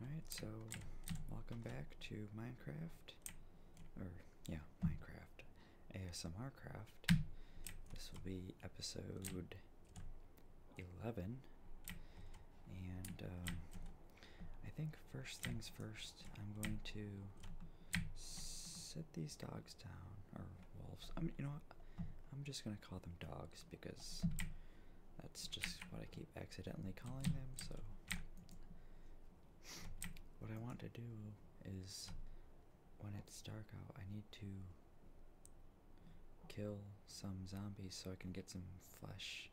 Alright, so welcome back to Minecraft, or yeah, Minecraft, ASMR Craft. This will be episode 11, and um, I think first things first, I'm going to set these dogs down or wolves. I mean, you know, I'm just gonna call them dogs because that's just what I keep accidentally calling them. So, what I want to do is when it's dark out, I need to kill some zombies so I can get some flesh,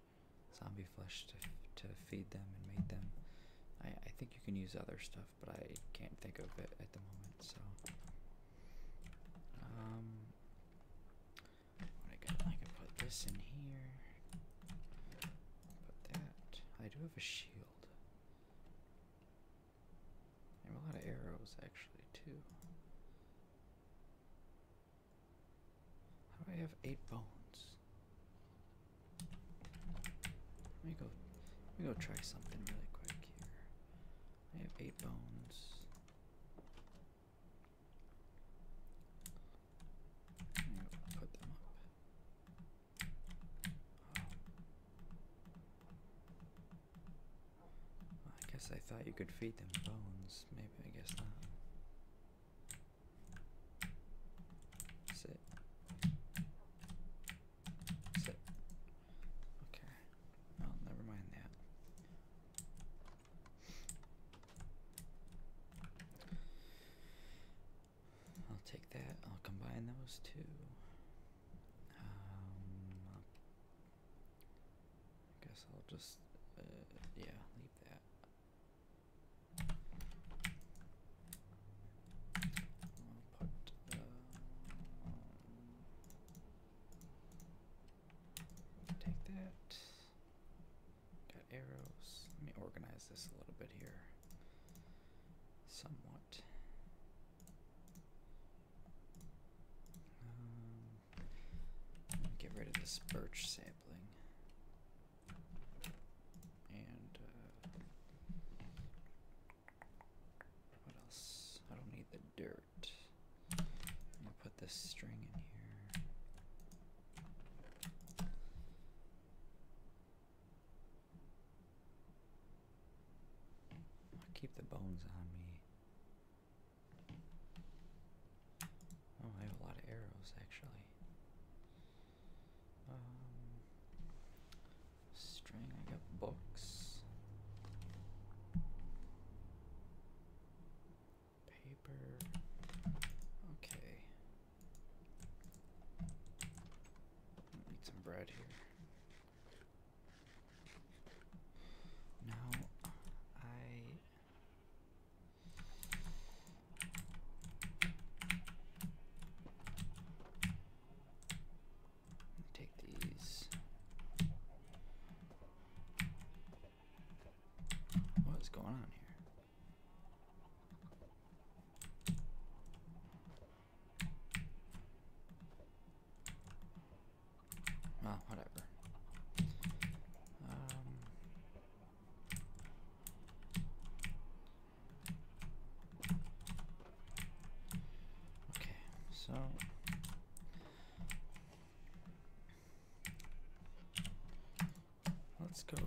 zombie flesh to to feed them and make them. I I think you can use other stuff but I can't think of it at the moment. So, um, I can I can put this in here. Put that. I do have a shield. I have a lot of arrows actually too. How do I have eight bones? Let me go let me go try something really quick here. I have eight bones. Put them up. Oh. I guess I thought you could feed them bones. Maybe I guess not. Sit. Okay. Oh, never mind that. I'll take that. I'll combine those two. Um, I guess I'll just, uh, yeah, leave that. Uh, take that. Got arrows. Let me organize this a little bit here. Somewhat. Um, get rid of this birch sampling. And uh, what else? I don't need the dirt. I'm put this string in here. keep the bones on me. Oh, I have a lot of arrows actually. Um, String, I got books. Paper. Okay. Need some bread here. Now I Take these. What is going on here? Well, whatever. Um, Okay, so let's go.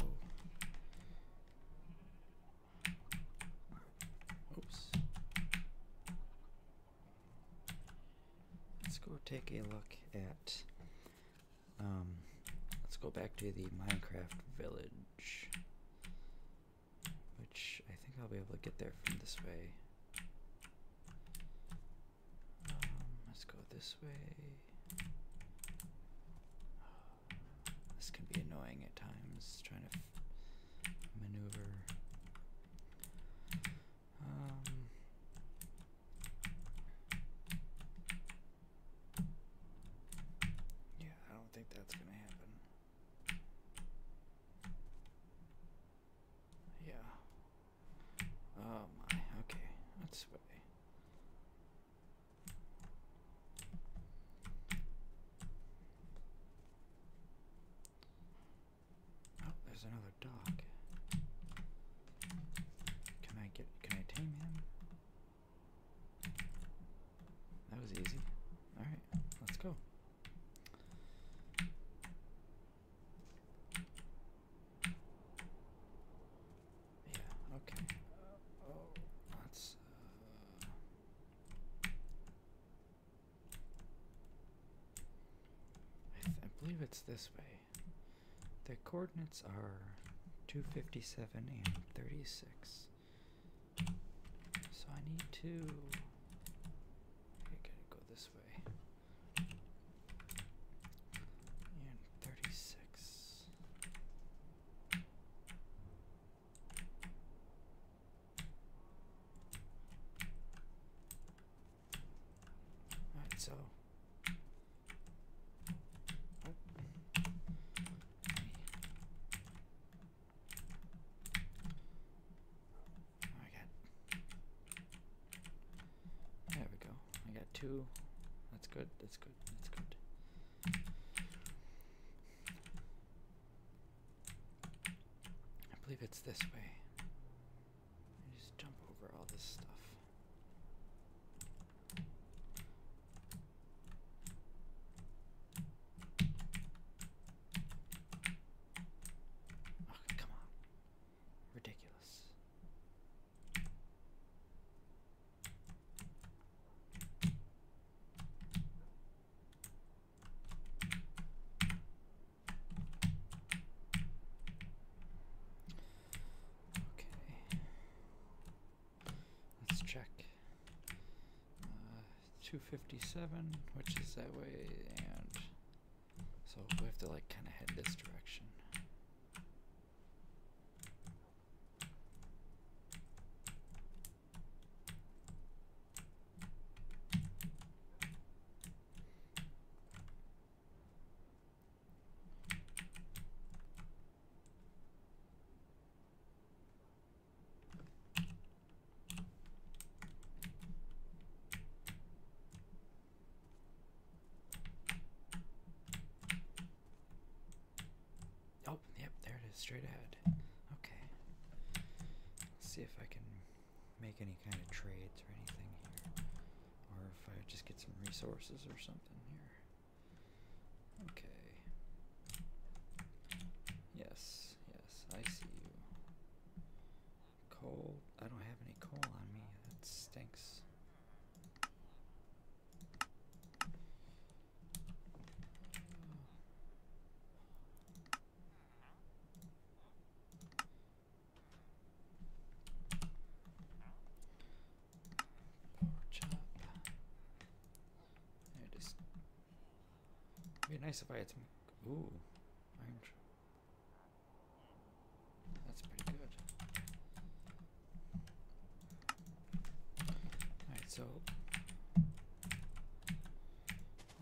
Oops. Let's go take a look at. Um, let's go back to the Minecraft village which I think I'll be able to get there from this way. Um, let's go this way. This can be annoying at times, trying to maneuver. Um, yeah, I don't think that's gonna happen. Yeah. Oh my, okay, that's way. Oh, there's another dog. Can I get can I tame him? That was easy. Alright, let's go. Yeah, okay. Uh, oh, that's. Uh, I believe it's this way. The coordinates are 257 and 36. So I need to I gotta go this way. And thirty six. Alright, so oh. I got. There we go. I got two. That's good. That's good. That's good. I believe it's this way. just jump over all this stuff. Oh, come on. Ridiculous. Okay. Let's check. Uh, 257, which is that way, and so we have to like kind of head this direction. Oh, yep, there it is, straight ahead. Okay. Let's see if I can make any kind of trades or anything here. Or if I just get some resources or something here. Okay. Yes, yes, I see you. Coal. I don't have any coal on me. That stinks. Pork chop. Just It'd be nice if I had some. Ooh, orange. That's pretty good. Alright, so.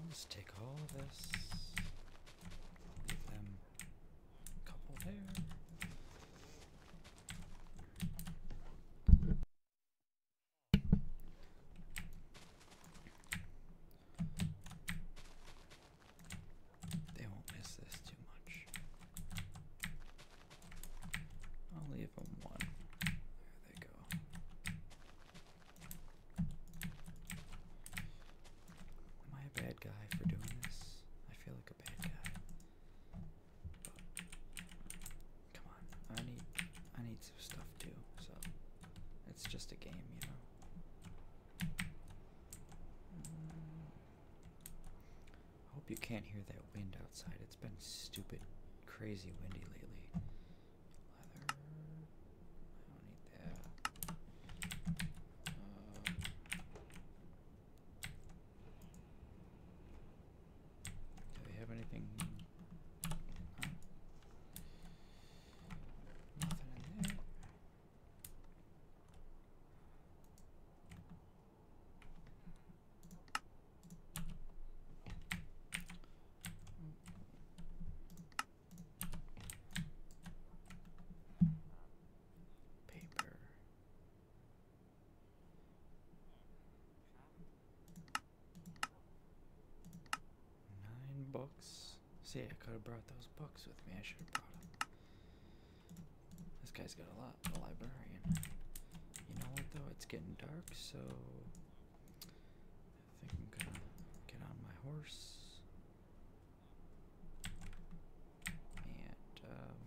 Let's take all of this. Leave them couple there. They won't miss this too much. I'll leave them one. There they go. Am I a bad guy for doing this? I feel like a bad guy. But come on, I need I need some stuff too. So it's just a game, you know. I hope you can't hear that wind outside. It's been stupid, crazy windy lately. Leather. I don't need that. do they have anything? Nothing in there. Paper. Nine bucks. See, I could have brought those books with me. I should have brought them. This guy's got a lot. The librarian. You know what though? It's getting dark, so I think I'm gonna get on my horse. And um,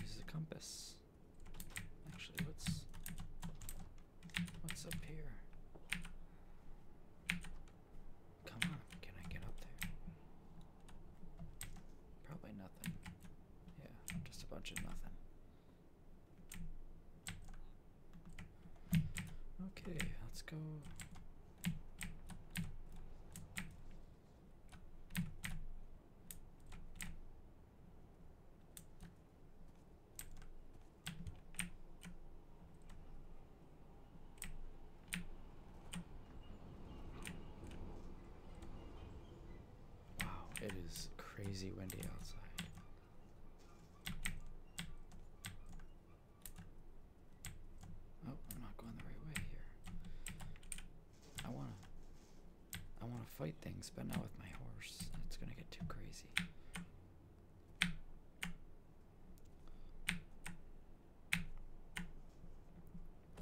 use the compass. Actually, let's What's up here? Come on, can I get up there? Probably nothing. Yeah, just a bunch of nothing. Okay, let's go. Wow, it is crazy windy outside. Oh, I'm not going the right way here. I wanna I wanna fight things, but not with my horse. It's gonna get too crazy.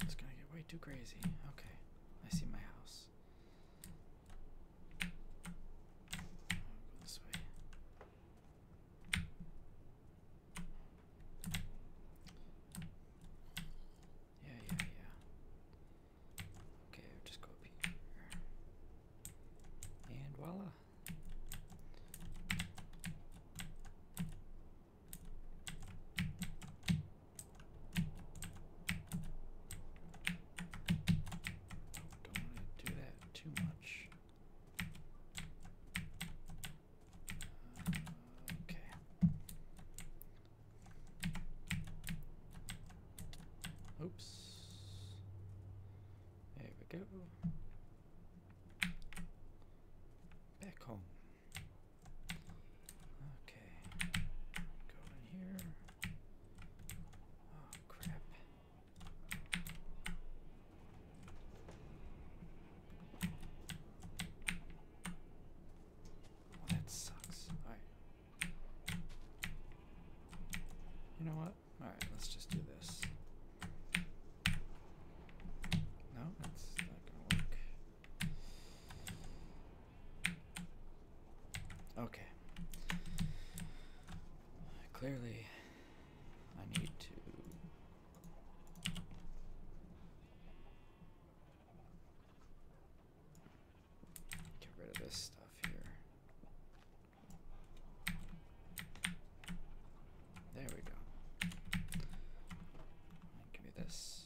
It's gonna get way too crazy. Okay, I see my house. Yeah, yeah, yeah. Okay, just go up here. And voila. Don't want to do that too much. Uh, okay. Oops. There we go. Back home. Okay. Go in here. Oh crap. Well, that sucks. Alright. You know what? Alright, let's just do this. No, that's not gonna work. Okay. Clearly, I need to. Get rid of this stuff here. There we go. Give me this.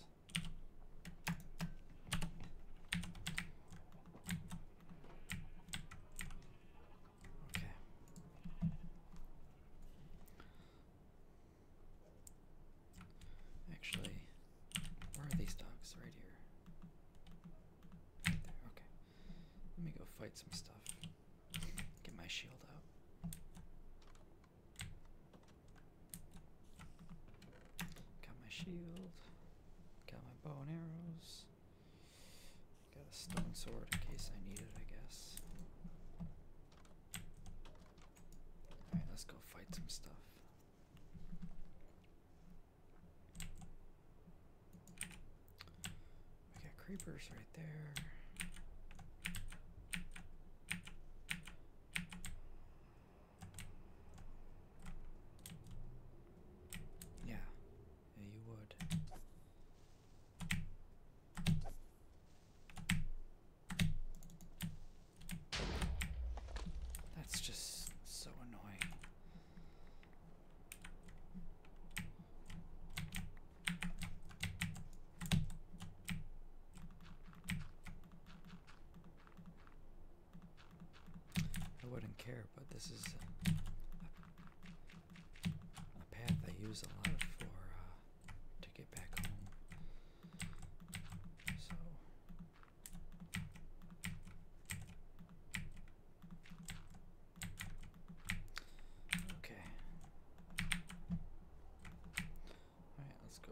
Okay. Actually, where are these dogs? Right here. there. Okay. Let me go fight some stuff. Get my shield out. Got my shield. Got my bow and arrows. Got a stone sword in case I need it, I guess. Alright, let's go fight some stuff. We got creepers right there. Yeah, yeah, you would. That's just so annoying. I wouldn't care, but this is a, path I use a lot for uh, to get back home. So Okay. Alright, let's go.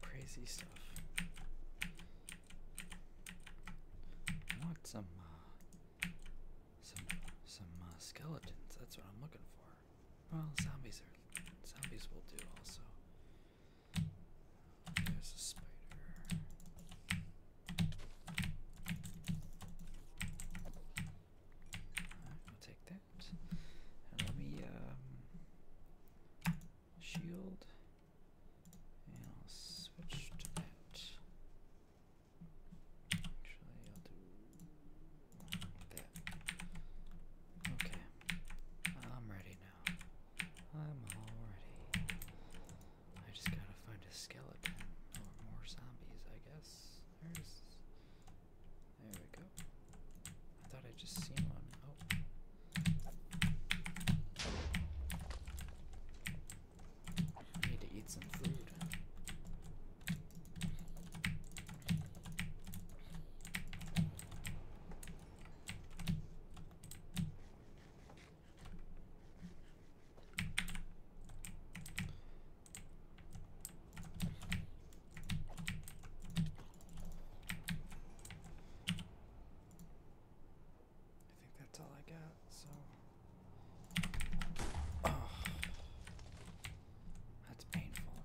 Crazy stuff. I want some uh, some some uh, skeletons. That's what I'm looking for. Well, zombies are zombies will do also. There's a spider. I'll take that. let me um, shield. And I'll switch that. Actually I'll do Okay. I'm ready now. I'm all ready. I just gotta find a skeleton or more zombies, I guess. There's. There we go. I thought I just seen one. Oh. I need to eat some food. I think that's all I got, so. Oh. That's painful.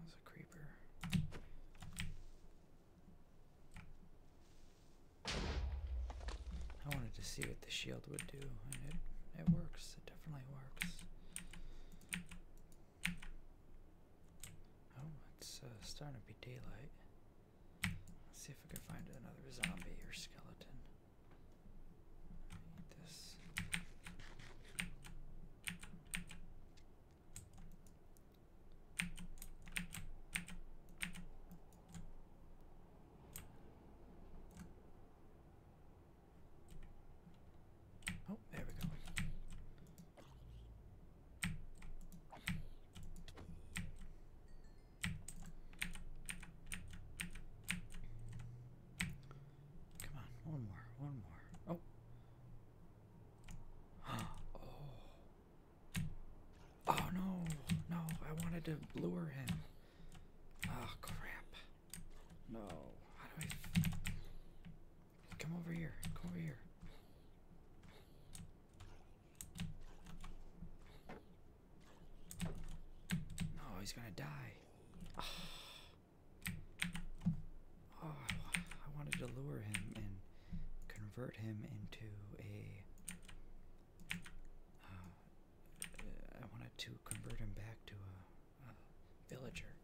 That's a creeper. I wanted to see what the shield would do, and it, it works. It definitely works. Oh, it's uh, starting to be daylight. Let's see if we can find another zombie or skeleton this. Oh, there we go. Come on, one more, one more. Oh. Oh. Oh no, no, I wanted to lure him. Oh crap. No. Come over here. Come over here. No, he's gonna die. Ah. Oh, I wanted to lure him and convert him into a. Uh, wanted to convert him back to a villager.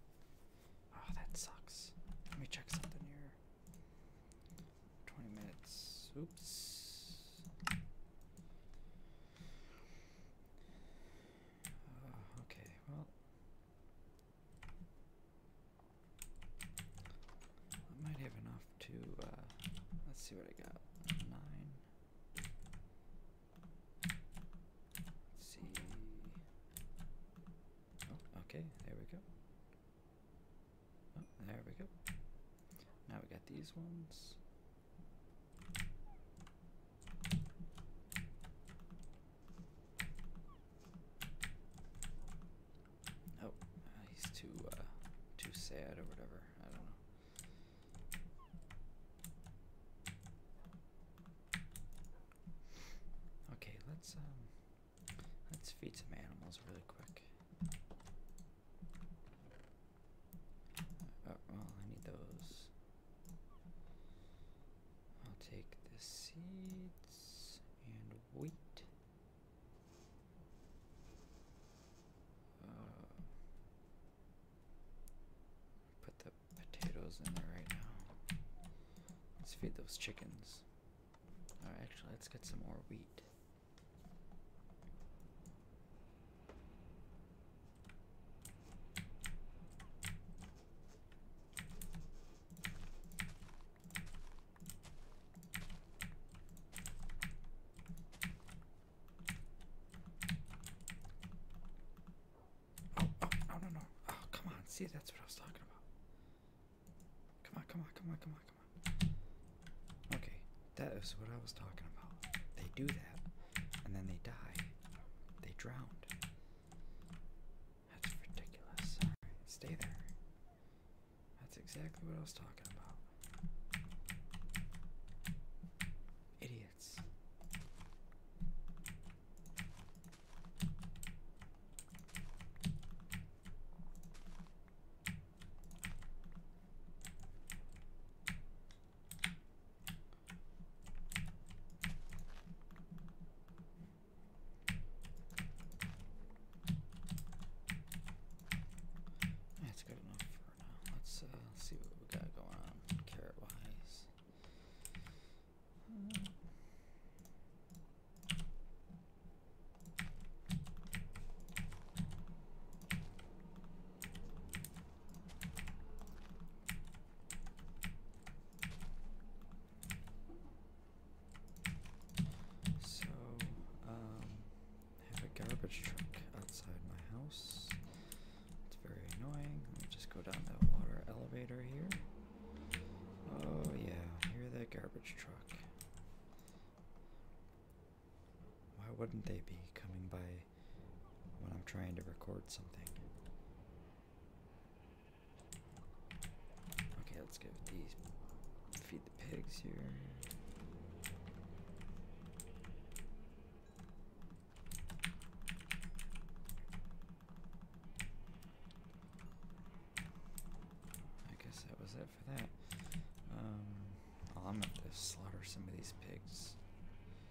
Oh, that sucks. Let me check something here. 20 minutes. Oops. Uh, okay, well. I might have enough to, uh, let's see what I got. 9 see. Oh, okay, there we go. Oh, there we go. Now we got these ones. Oh, he's too uh, too sad or whatever. I don't know. Okay, let's um let's feed some animals really quick. Uh, I need those. I'll take the seeds and wheat. Uh, put the potatoes in there right now. Let's feed those chickens. All uh, right, actually, let's get some more wheat. Oh, oh, no, no. Oh, come on. See, that's what I was talking about. Come on, come on, come on, come on, come on. Okay, that is what I was talking about. They do that, and then they die. They drowned. That's ridiculous. stay there. That's exactly what I was talking about. Idiots. That's good enough for now. Let's uh, see what we got going on carrot wise. So, um, I have a garbage truck outside my house. It's very annoying. Let me just go down that water elevator here. Oh, yeah, hear that garbage truck. Why wouldn't they be coming by when I'm trying to record something? Okay, let's give these feed the pigs here. I guess that was it for that. Um, oh, I'm going to slaughter some of these pigs.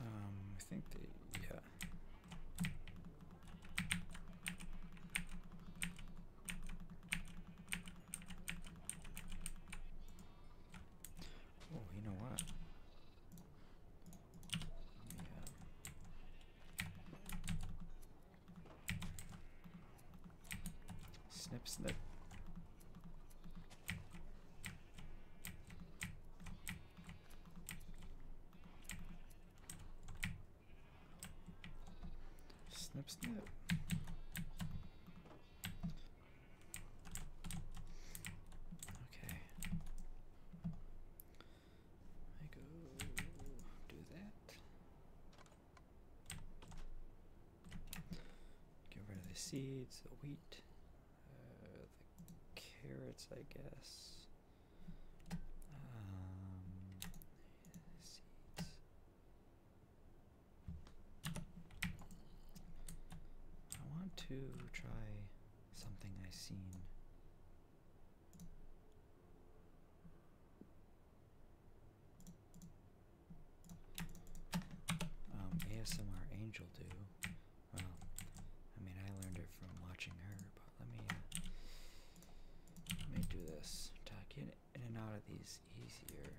Um, I think they, yeah. Oh, you know what? Yeah. Snip, snip. Snip, snip. Okay. I go do that. Get rid of the seeds, the wheat, uh, the carrots, I guess. Um, I want to try something I've seen. Um, ASMR Angel do. Well, I mean, I learned it from watching her, but let me uh, let me do this. Tuck in and out of these easier.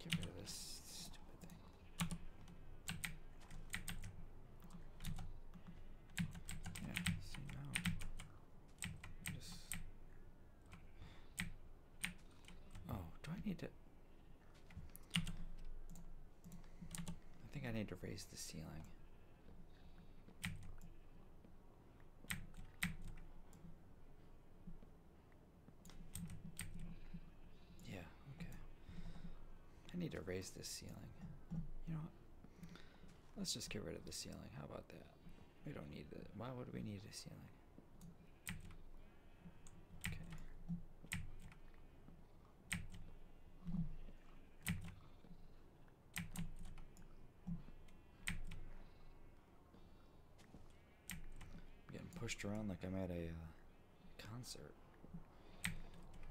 Get rid of this stupid thing. Yeah, see now. Just... Oh, do I need to? I think I need to raise the ceiling. Yeah, okay. I need to raise this ceiling. You know, Let's just get rid of the ceiling. How about that? We don't need it. Why would we need a ceiling? Okay. I'm getting pushed around like I'm at a uh, concert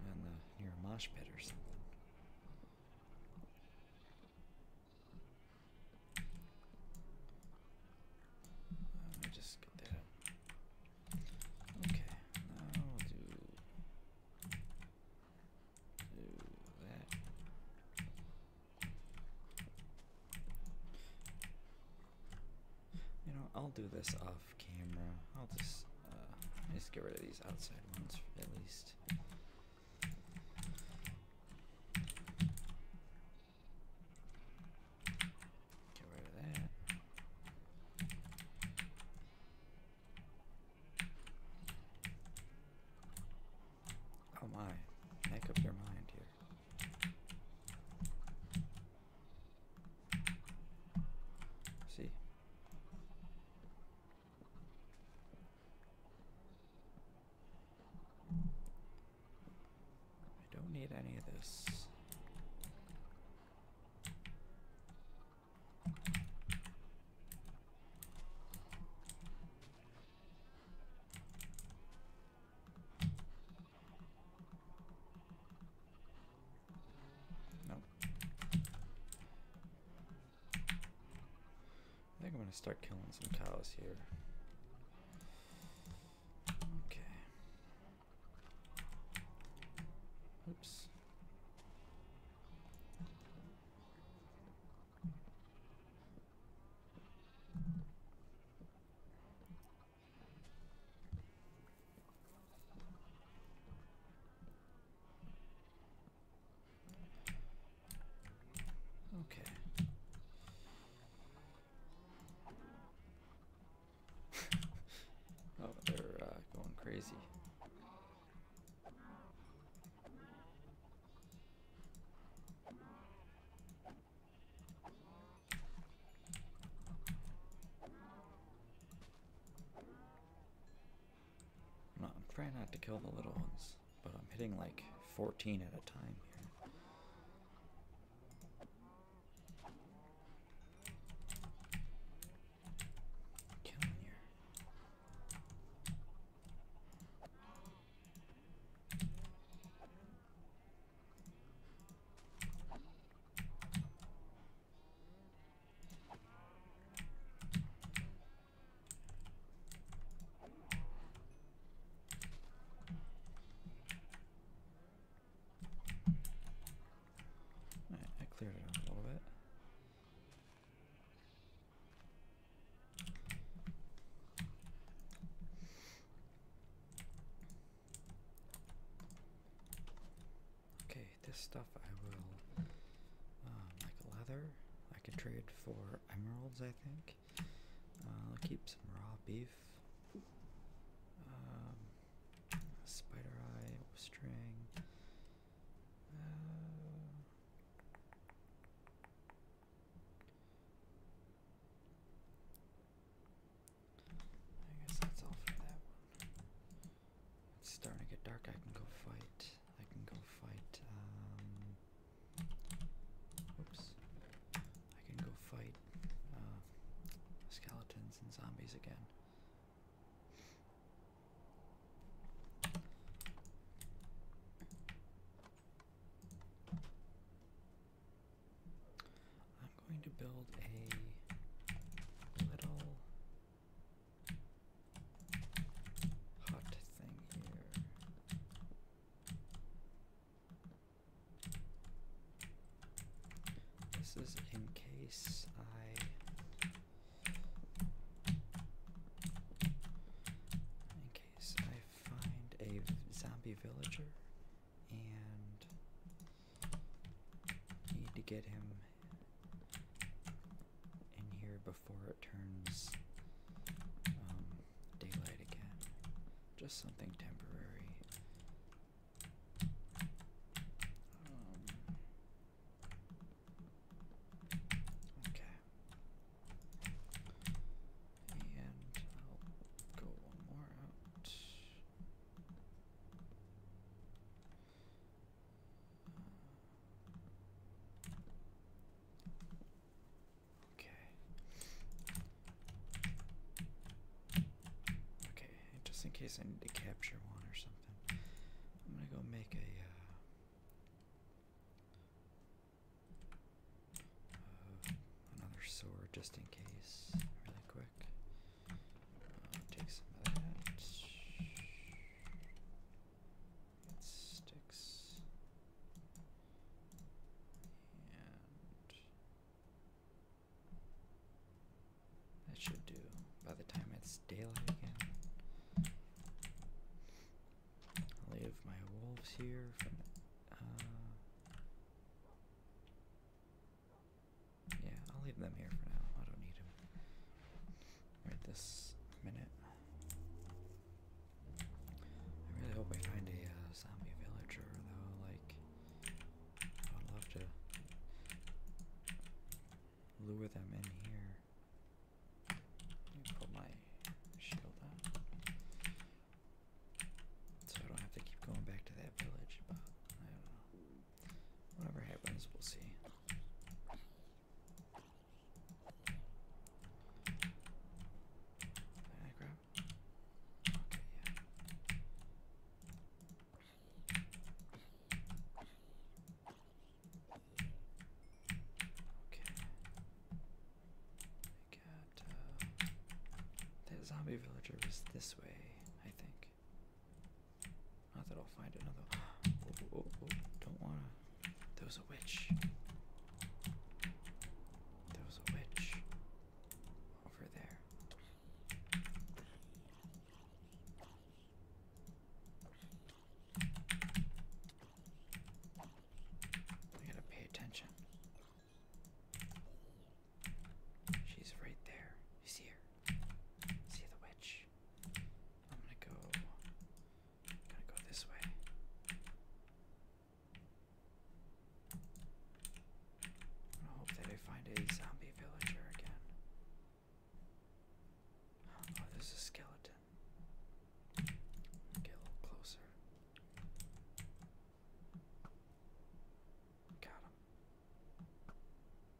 on the, near a mosh pit or something. Let me just get that Okay, now do, do that. You know, I'll do this off camera. I'll just uh, just get rid of these outside ones at least. Get rid of that. Oh my, make up your mind here. See? I don't need any of this. Nope. I think I'm going to start killing some cows here. Okay. Oops. Okay. oh, they're uh, going crazy. I'm, trying not to kill the little ones, but I'm hitting like 14 at a time here. Right, I cleared it out a little bit. Okay, this stuff I will, um, like leather, I can trade for emeralds, I think. Uh, I'll keep some raw beef. Um, spider eye, string. Uh, I guess that's all for that one. It's starting to get dark. I can go fight. I can go fight. Um, oops. I can go fight uh, skeletons and zombies again. I'm going to build a little hot thing here. This is in case I in case I find a zombie villager and need to get him in here before it turns um, daylight again. Just something temporary. Um, okay. And go one more out. Okay. Okay, just in case I need to capture one or something, I'm gonna go make a. Uh, uh, another sword just in case, really quick. Uh, take some of that it sticks and that should do by the time it's daylight again. I'll leave my wolves here from uh yeah, I'll leave them here for now. I don't need them right this minute. I really hope we find a uh, zombie villager though, like, I would love to lure them in here. Let me pull my shield out. So I don't have to keep going back to that village, but I don't know. Whatever happens, we'll see. I Okay, I got, uh, zombie villager was this way, I think. Not that I'll find another. Oh oh, oh, oh, don't wanna. There was a witch. There was a witch over there. I gotta pay attention. She's right there. see her? See the witch? I'm gonna go Gotta go this way. I hope that I find a zombie villager again. Oh, there's a skeleton. Get a little closer. Got him.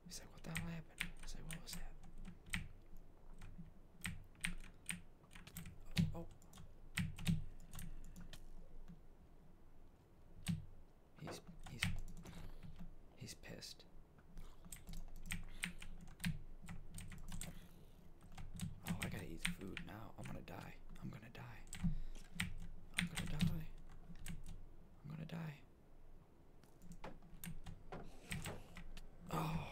He's like, what the hell happened? He's like, what was that? Oh. He's he's he's pissed. Oh, I gotta eat food now. I'm gonna die. I'm gonna die. I'm gonna die. I'm gonna die. Oh.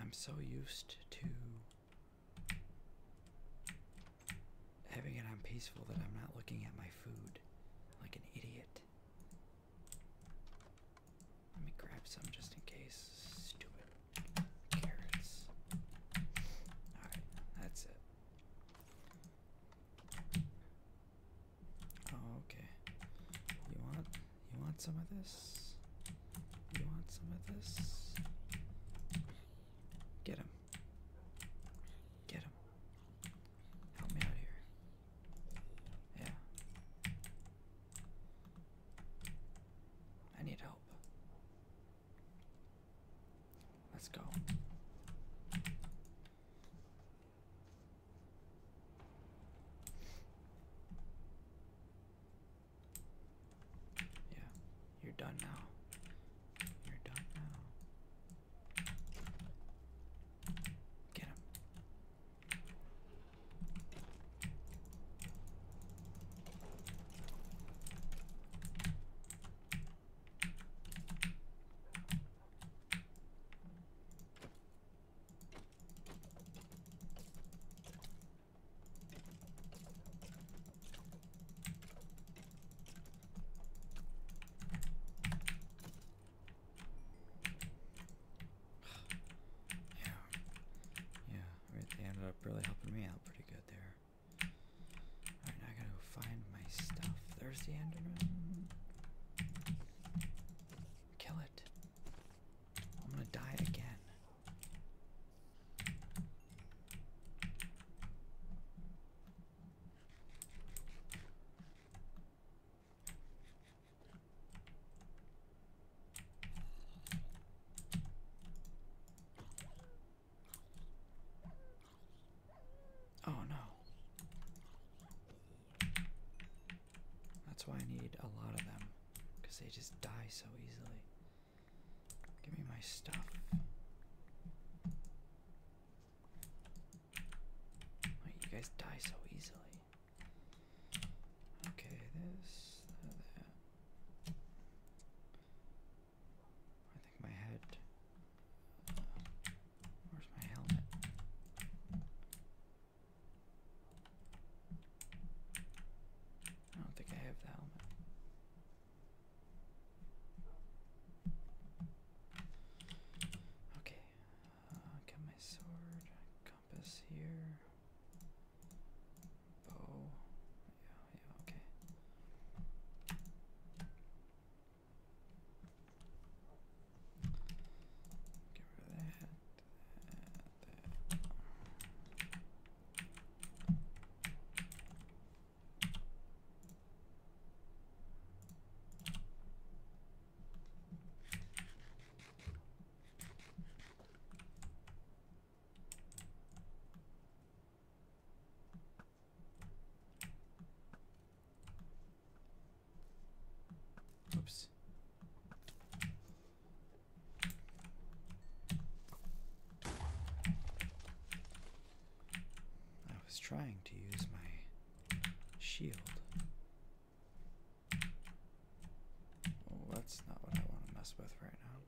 I'm so used to having it on peaceful that I'm not looking at my food like an idiot. Let me grab some just in case. Stupid carrots. Alright, that's it okay. You want you want some of this? You want some of this? Get him. Get him. Help me out here. Yeah. I need help. Let's go. Yeah, you're done now. You're done now. Get him. Yeah, yeah, it ended up really helping me out pretty good there. Alright, now I gotta find my stuff. There's the enderman. Kill it. I'm gonna die again. Oh no. That's why I need a lot of them, because they just die so easily. Give me my stuff. Oh, you guys die so easily. Okay, this, that. I think my head. Where's my helmet? I don't think I have the helmet. Okay, uh, my sword, compass here, bow. Yeah, yeah, okay. Get rid of that. that, that. Oops. I was trying to use my shield. Well, that's not what I want to mess with right now.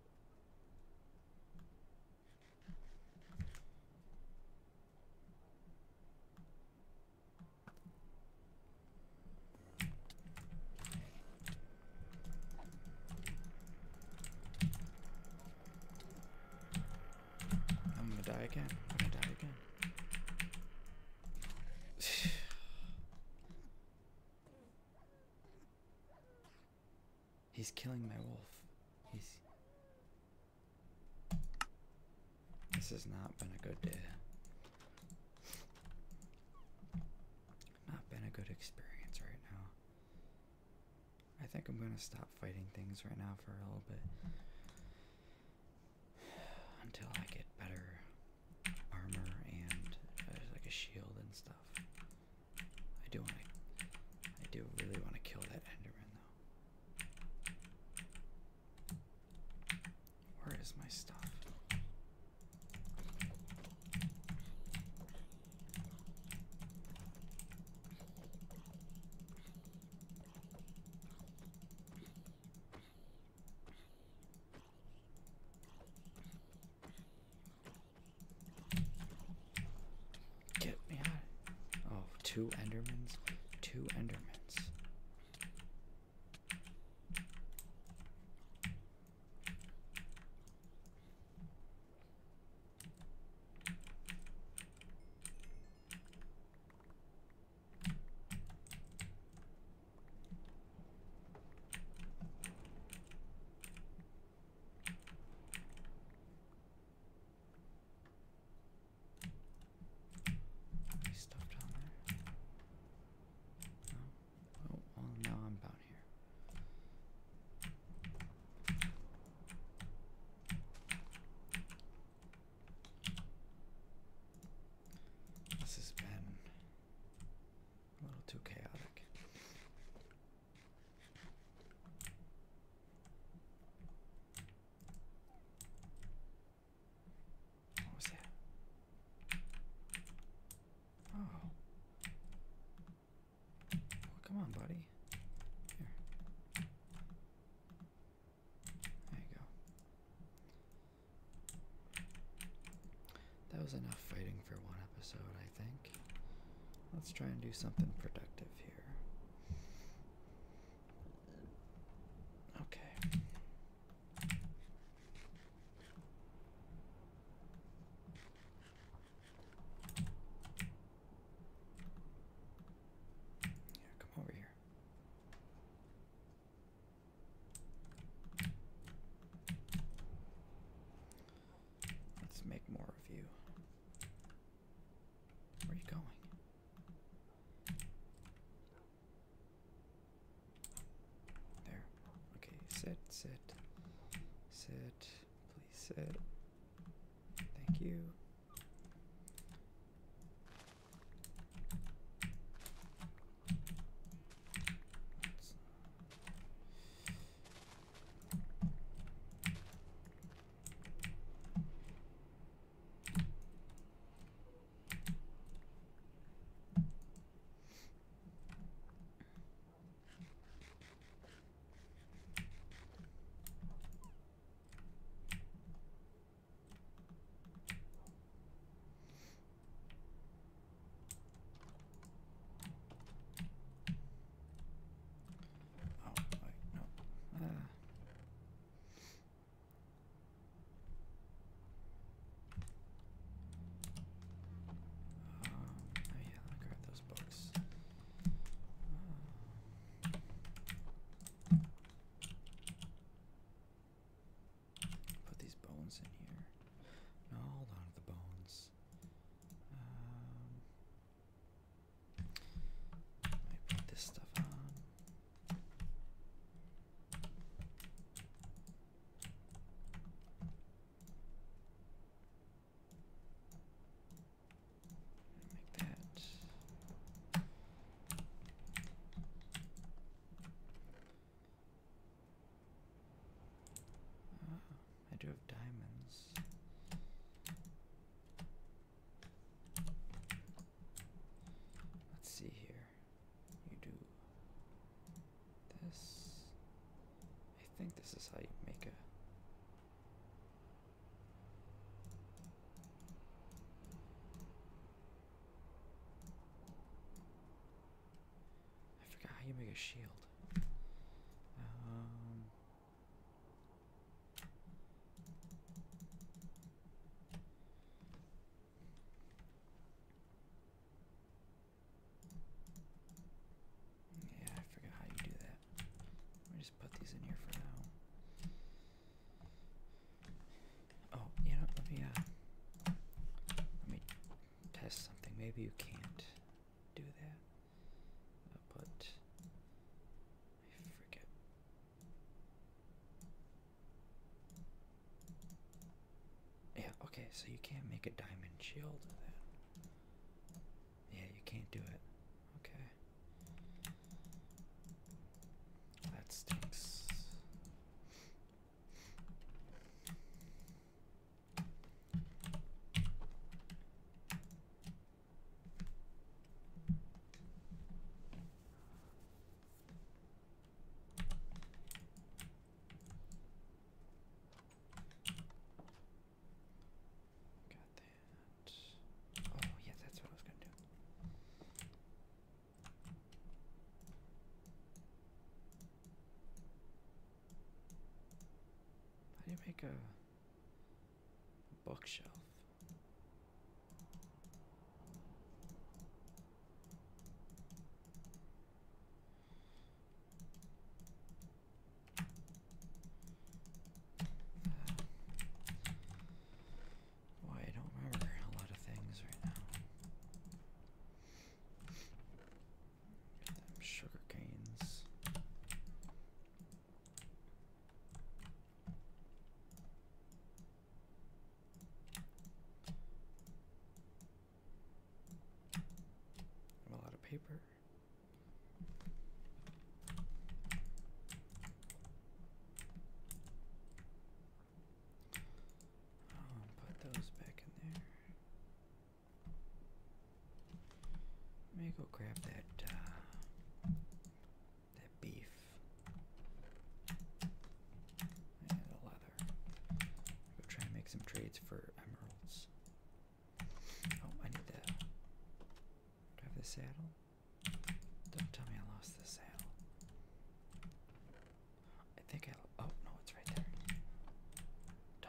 I'm gonna die again. I'm gonna die again. He's killing my wolf. He's this has not been a good day. Not been a good experience right now. I think I'm gonna stop fighting things right now for a little bit until I get better armor and uh, like a shield and stuff. I do want to. I do really want to kill that Enderman though. Where is my stuff? Get me out. Oh, two Endermans. Two Endermans. Any No. Oh, I'm down here. This has been a little too chaotic. What was that? Oh. oh come on, buddy. There you go. That was enough fighting for one episode, I think. Let's try and do something productive here. Okay. Yeah, come over here. Let's make more of you. Where are you going? There. Okay, sit, sit, sit, please sit. Thank you. Oh, wait, no. Ah oh yeah, let me grab those books. put these bones in here. No, hold on to the bones. Um, put this stuff on. Make that. I do have diamonds. Let's see here. You do this. I think this is how you make a. I forgot how you make a shield. Um, yeah, I forgot how you do that. Let me just put these in here for now. Oh, you know, let me uh, let me test something. Maybe you can't do that. I'll put I forget yeah, okay, so you can't make a diamond shield then. Yeah, you can't do it. Okay. That stinks. Got that. Oh, yeah, that's what I was going to do. I didn't make a bookshelf. Why I don't remember a lot of things right now. sugar canes. I'm out of paper. put those back in there. Let me go grab that uh, that beef and the leather. Go try and make some trades for emeralds. Oh, I need that. Do I have the saddle? Don't tell me I lost the saddle. I think I. Oh no, it's right there. Duh.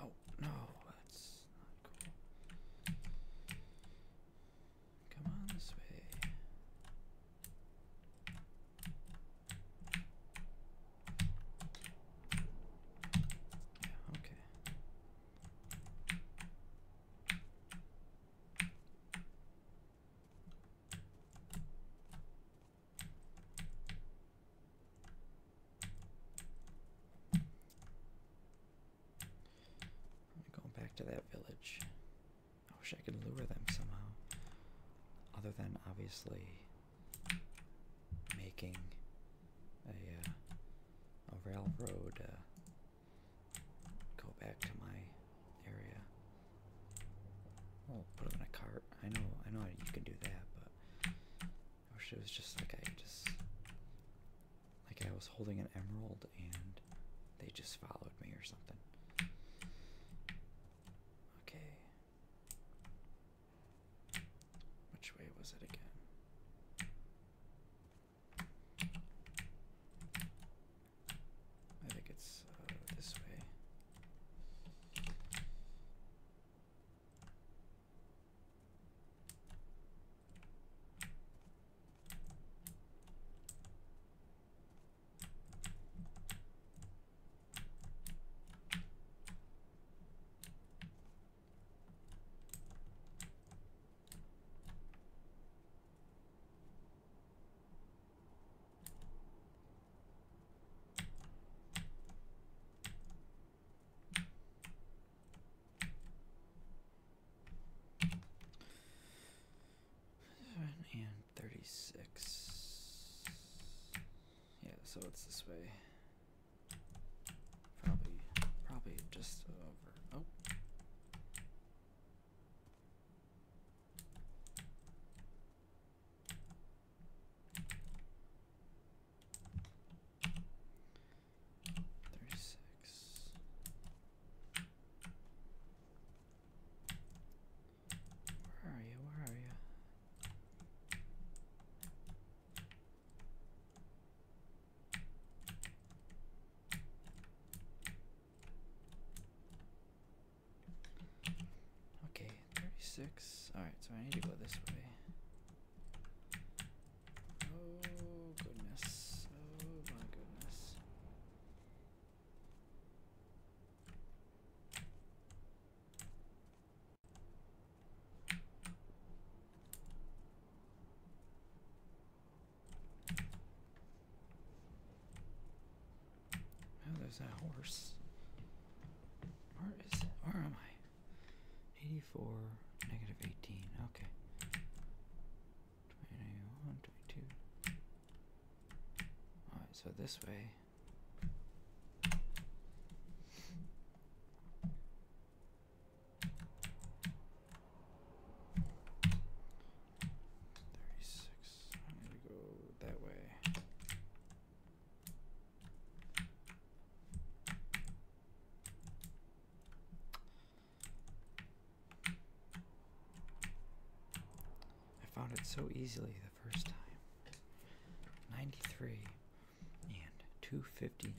Oh, no, that's not cool. Come on this way. Yeah, okay. Go back to that village. I wish I could lure them somehow. Other than obviously making a, uh, a railroad uh, go back to my area. Oh, put them in a cart. I know, I know you can do that, but I wish it was just like I just like I was holding an emerald and they just followed me or something. Okay. Which way was it again? I think it's uh, this way and 36 yeah so it's this way probably probably just over oh Thirty-six. Where are you? Where are you? Okay, 36. Alright, so I need to go this way. Oh goodness. Oh my goodness. Oh, there's that horse. Where is it? Where am I? 84, negative 18. Okay. 21, Alright, so this way. Thirty-six. I'm gonna go that way. I found it so easily the first time. 93 and 250.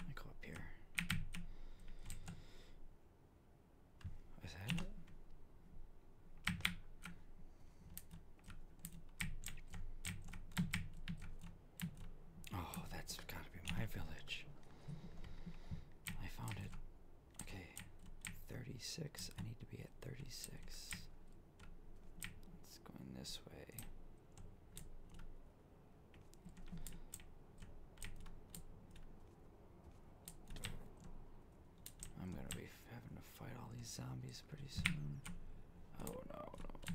I go up here. Is that it? Oh, that's gotta be my village. I found it. Okay, 36. I need to be at 36. It's going this way. I'm gonna be having to fight all these zombies pretty soon. Oh no, no.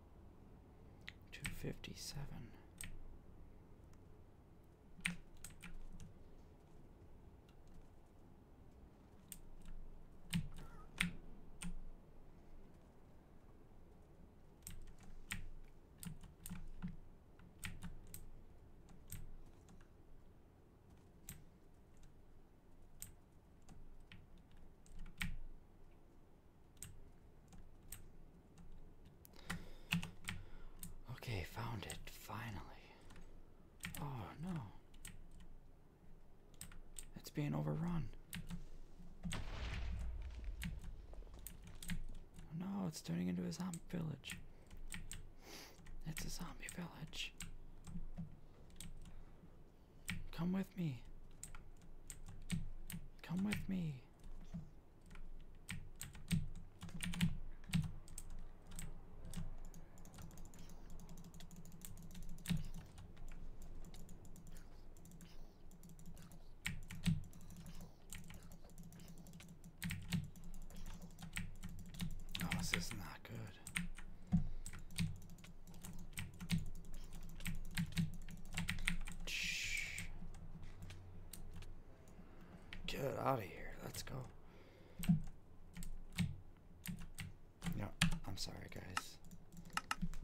Two fifty seven. Okay, found it, finally. Oh no. It's being overrun. No, it's turning into a zombie village. It's a zombie village. Come with me. Come with me. Oh, this is not good. Shh. Get out of here. Let's go. No, I'm sorry, guys.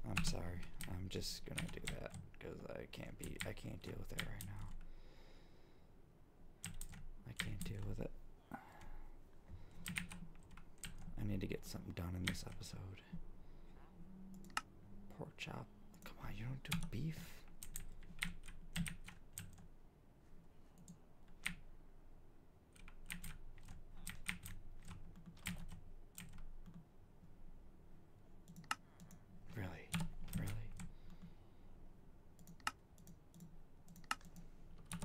I'm sorry. I'm just gonna do that because I can't be. I can't deal with it right now. I can't deal with it. I need to get something done in this episode. Poor chap, Come on, you don't do beef. Really, really.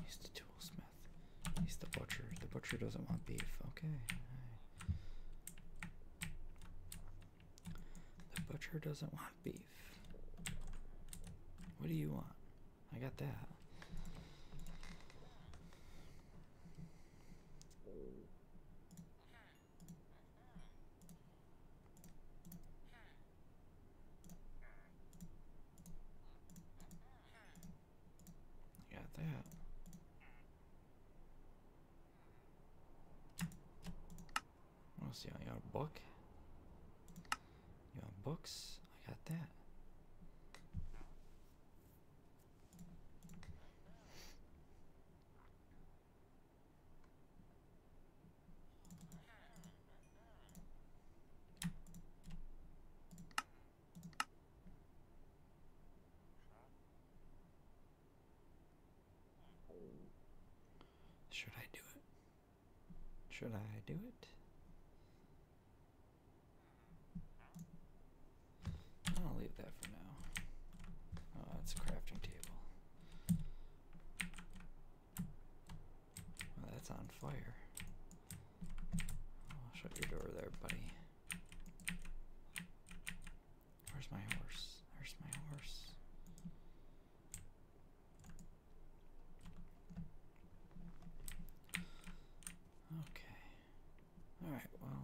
He's the toolsmith. He's the butcher. The butcher doesn't want beef. Okay. The butcher doesn't want beef. What do you want? I got that. Got that. What else you got? got a book? You got books? I got that. Should I do it? Should I do it? I'll leave that for now. Oh, that's a crafting table. Well, that's on fire. shut your door there, buddy. Where's my horse? Where's my horse? Okay. Alright, well.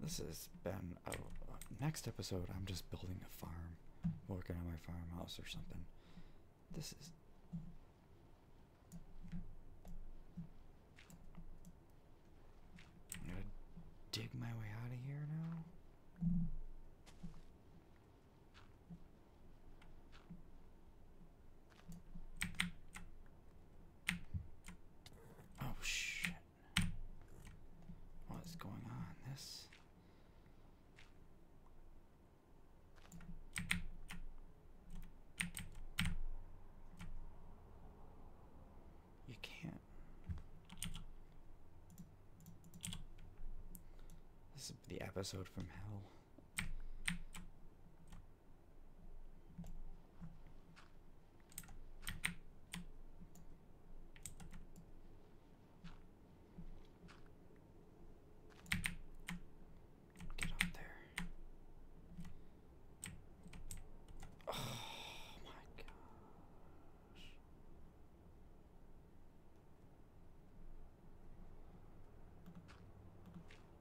This has been a, next episode. I'm just building a farm, working on my farmhouse or something. This is. i to dig my way out of here now. Oh shit. What is going on? This You can't. This is the episode from hell. Get up there. Oh my gosh.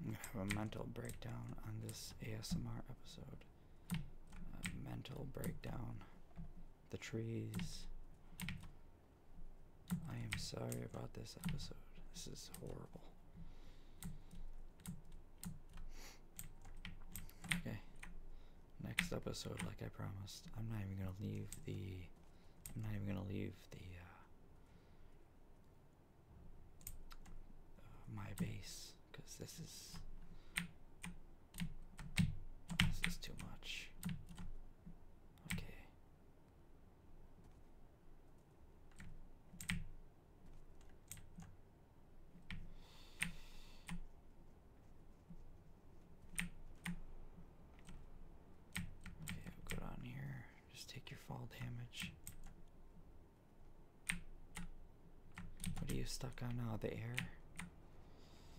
I'm gonna have a mental breakdown on this ASMR episode. mental breakdown. The trees. I am sorry about this episode. This is horrible. Okay next episode like I promised. I'm not even gonna leave the I'm not even gonna leave the uh, uh my base because this is this is too much. Okay. Okay, we'll here. Just take your fall damage. What are you stuck on now? The air?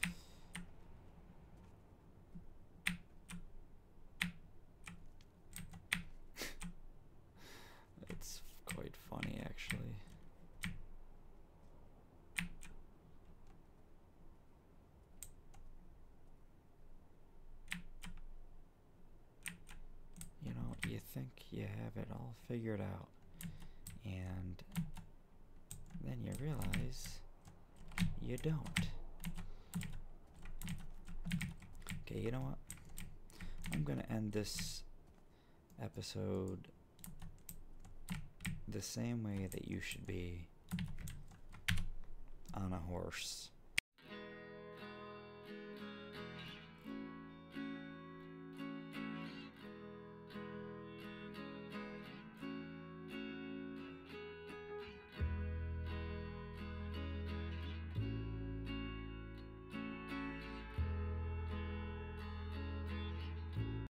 It's quite funny, actually. You know, you think you have it all figured out, and then you realize you don't. Okay, you know what? I'm gonna end this episode the same way that you should be on a horse.